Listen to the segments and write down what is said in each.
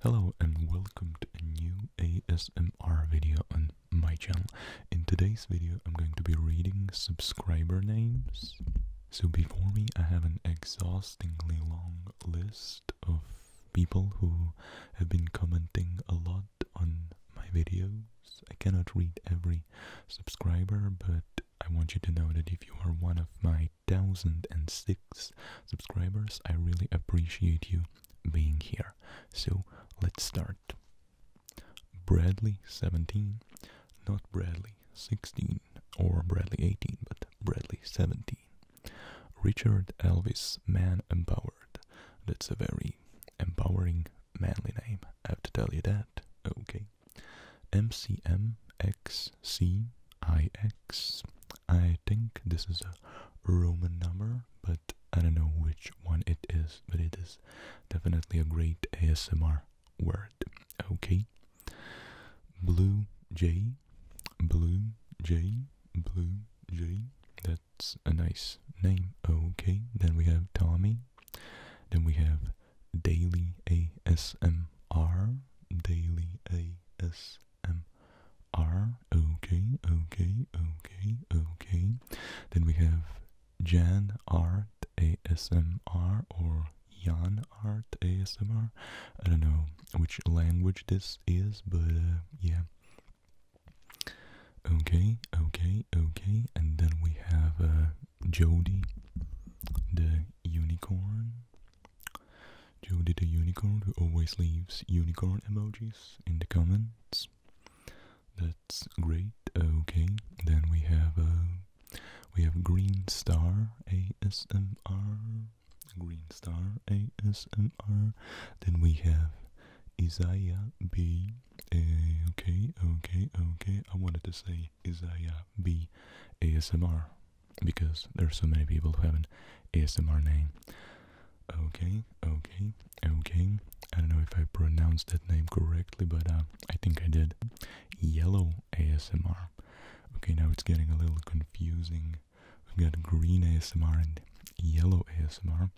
Hello and welcome to a new ASMR video on my channel. In today's video I'm going to be reading subscriber names. So before me I have an exhaustingly long list of people who have been commenting a lot on my videos. I cannot read every subscriber but I want you to know that if you are one of my 1006 subscribers. I really appreciate you being here. So let's start. Bradley 17, not Bradley 16 or Bradley 18, but Bradley 17. Richard Elvis, man empowered. That's a very empowering, manly name, I have to tell you that. Okay. MCMX C I X. I think this is a Roman number, but I don't know which one it is, but it is definitely a great ASMR word. Okay. Blue Jay, Blue Jay, Blue Jay. That's a nice name. Okay. Then we have Tommy. Then we have Daily ASMR. Daily AS. ASMR. Okay, okay, okay, okay. Then we have Jan Art ASMR or Jan Art A S don't know which language this is, but uh, yeah. Okay, okay, okay. And then we have uh, Jody, the unicorn. Judy the Unicorn, who always leaves unicorn emojis in the comments. That's great. Okay, then we have uh, we have Green Star ASMR, Green Star ASMR. Then we have Isaiah B. Eh, okay, okay, okay. I wanted to say be Isaiah uh, B. ASMR because there are so many people who have an ASMR name. Okay, okay, okay. I don't know if I pronounced that name correctly, but uh, I think I did. Yellow ASMR. Okay, now it's getting a little confusing. We've got green ASMR and yellow ASMR.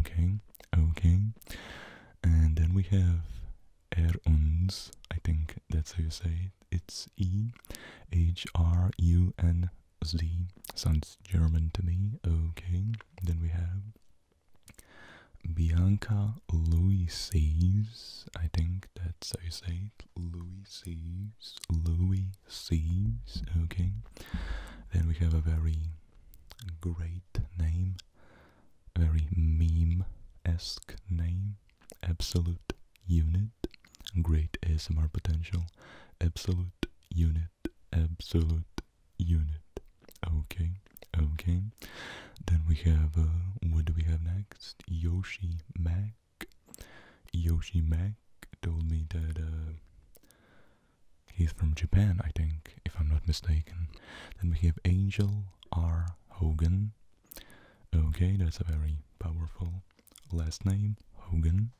Okay, okay. And then we have Er I think that's how you say it. It's E H R U N Z. Sounds German to me. Okay. Then we have Bianca Louise. I think that's how you say it. Louise, Louises. Okay. Then we have a very great name, a very meme esque name absolute unit, great ASMR potential, absolute unit, absolute unit. Okay, okay. Then we have, uh, what do we have next? Yoshi Mac. Yoshi Mac told me that uh, he's from Japan, I think, if I'm not mistaken. Then we have Angel R. Hogan. Okay, that's a very powerful last name, Hogan,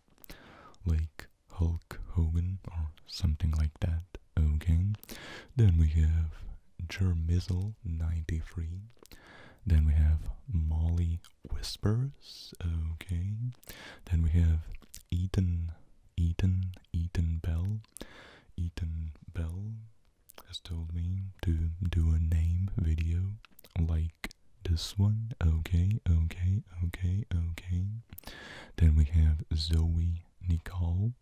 like Hulk Hogan or something like that. Okay, then we have Germizzle 93. Then we have Molly Whispers. Okay. Then we have Eaton, Eaton, Eaton Bell, Eaton Bell has told me to do a name video like this one. Okay, okay, okay, okay. Then we have Zoe Nicole.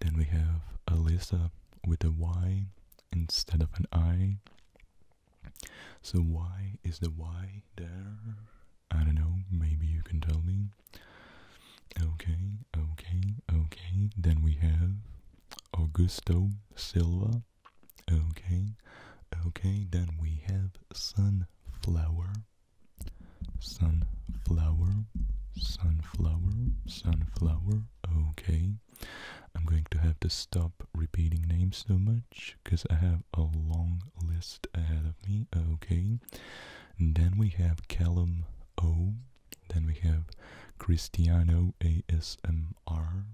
Then we have Alyssa with a Y instead of an I. So Y is the Y there? I don't know, maybe you can tell me. Okay, okay, okay. Then we have Augusto Silva. Okay, okay, then we have sunflower, sunflower, sunflower, sunflower. Okay, I'm going to have to stop repeating names so much because I have a long list ahead of me. Okay, then we have Callum O. Then we have Cristiano ASMR.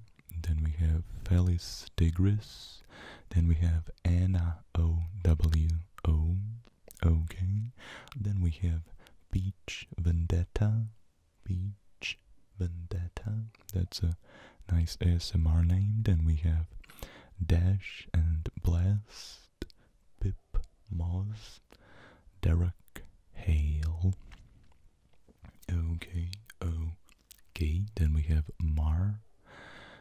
Then we have Felis Tigris. Then we have Anna OWO. Okay. Then we have Beach Vendetta. Beach Vendetta. That's a nice ASMR name. Then we have Dash and Bless. Pip Moss, Derek Hale. Okay, okay. Then we have Mar.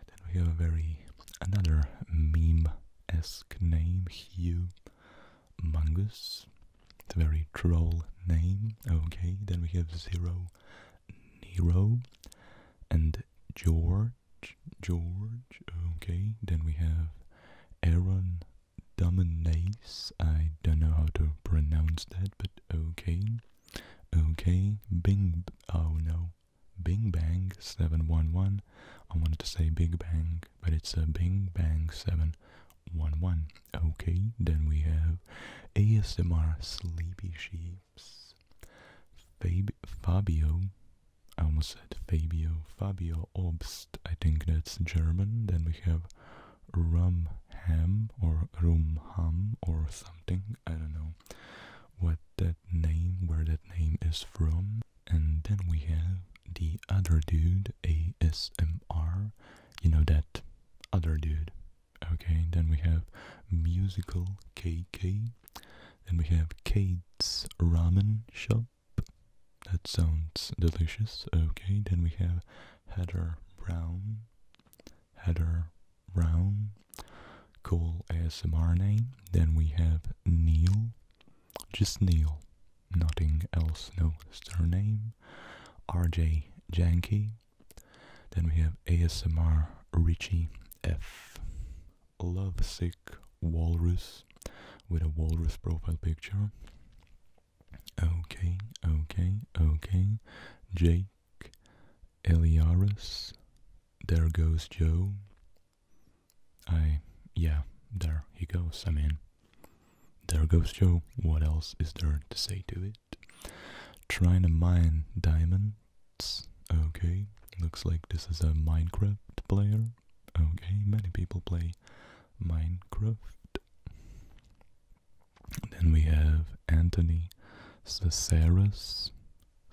Then we have a very another meme-esque name, here. Mungus. It's a very troll name. Okay, then we have Zero Nero and George. George. Okay. Then we have Aaron Dominace. I don't know how to pronounce that, but okay. Okay. Bing. Oh no. Bing Bang 711. I wanted to say Big Bang, but it's a Bing Bang 711. Okay. Then we have ASMR Sleepy Sheeps. Fabio I almost said Fabio, Fabio Obst, I think that's German. Then we have Rum Ham or Rum Rumham or something, I don't know what that name, where that name is from. And then we have the other dude, ASMR, you know that other dude. Okay, then we have Musical K K. then we have Kate's Ramen Shop, that sounds delicious. Okay, then we have Heather Brown. Heather Brown. call ASMR name. Then we have Neil. Just Neil. Nothing else, no surname. RJ Janky. Then we have ASMR Richie F lovesick walrus with a walrus profile picture. Okay, okay, okay. Jake, Eliarus. there goes Joe. I, yeah, there he goes. I mean, there goes Joe. What else is there to say to it? Trying to mine diamonds. Okay, looks like this is a Minecraft player. Okay, many people play Minecraft. Then we have Anthony Cesaris.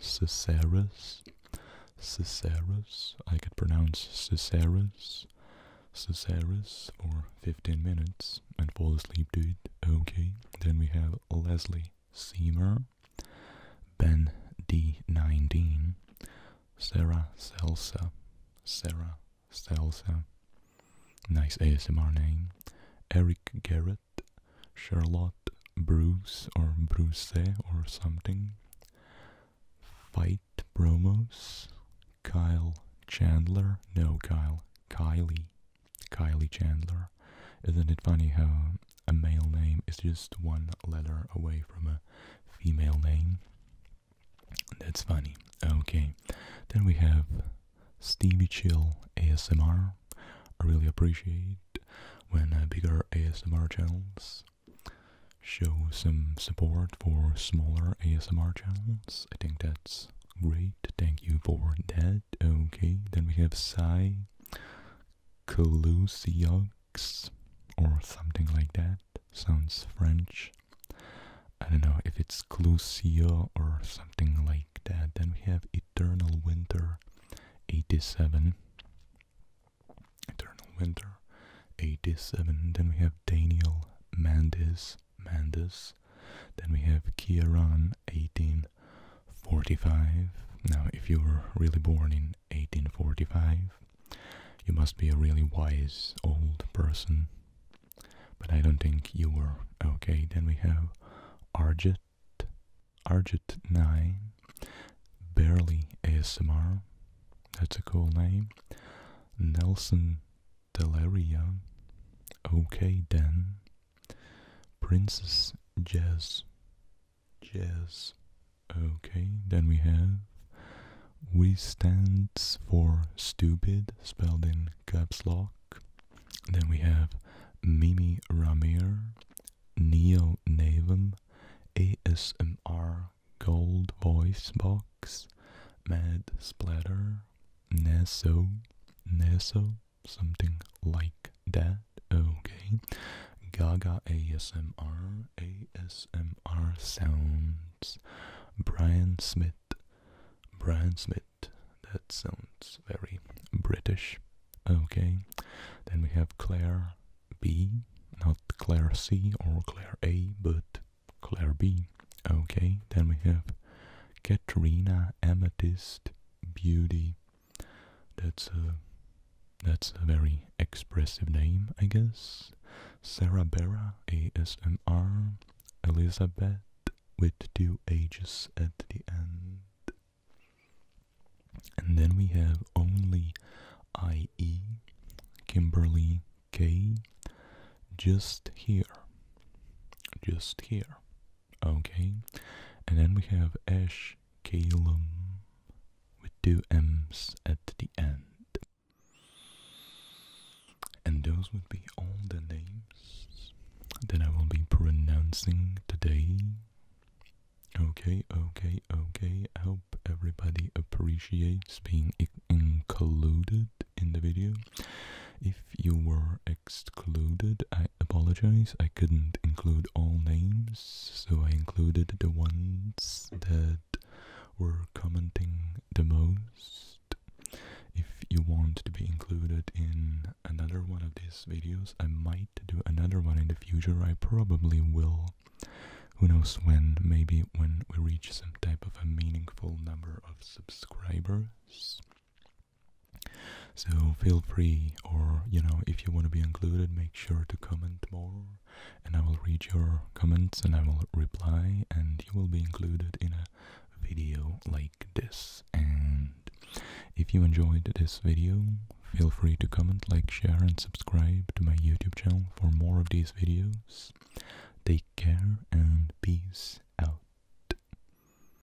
Cesaris. Cesaris. I could pronounce Cesaris. Cesaris for 15 minutes and fall asleep to it. Okay. Then we have Leslie Seymour. Ben D19, Sarah Selsa, Sarah Selsa, nice ASMR name, Eric Garrett, Charlotte Bruce or Bruce or something, Fight Bromos, Kyle Chandler, no Kyle, Kylie, Kylie Chandler. Isn't it funny how a male name is just one letter away from a female name. That's funny. Okay, then we have Stevie Chill ASMR. I really appreciate when uh, bigger ASMR channels show some support for smaller ASMR channels. I think that's great. Thank you for that. Okay, then we have Sai Kalusiog. X or something like that. Sounds French. I don't know if it's Clusia or something like that. Then we have Eternal Winter 87. Eternal Winter 87. Then we have Daniel Mandis. Mandis. Then we have Kieran 1845. Now, if you were really born in 1845. You must be a really wise old person. But I don't think you were. Okay, then we have Arjit, Arjit9, Barely ASMR, that's a cool name. Nelson Delaria, okay then. Princess Jazz Yes. Okay, then we have we stands for stupid, spelled in caps lock. Then we have Mimi Ramir, Neo Navum, ASMR Gold Voice Box, Mad Splatter, Neso, Neso, something like that. Okay. Gaga ASMR, ASMR sounds. Brian Smith, Brian Smith. That sounds very British. Okay. Then we have Claire B, not Claire C or Claire A, but Claire B. Okay. Then we have Katrina Amethyst Beauty that's a that's a very expressive name, I guess. Sarah Berra, ASMR, Elizabeth with two ages at the end. And then we have only IE, Kimberly K, just here, just here. Okay. And then we have ash calum with two M's at the end. And those would be all the names that I will be pronouncing today. Okay, okay, okay. I hope everybody appreciates being included in the video. If you were a excluded. I apologize, I couldn't include all names, so I included the ones that were commenting the most. If you want to be included in another one of these videos, I might do another one in the future, I probably will. Who knows when, maybe when we reach some type of a meaningful number of subscribers. So feel free, or you know, if you want to be included, make sure to comment more, and I will read your comments and I will reply, and you will be included in a video like this. And if you enjoyed this video, feel free to comment, like, share, and subscribe to my YouTube channel for more of these videos. Take care and peace out.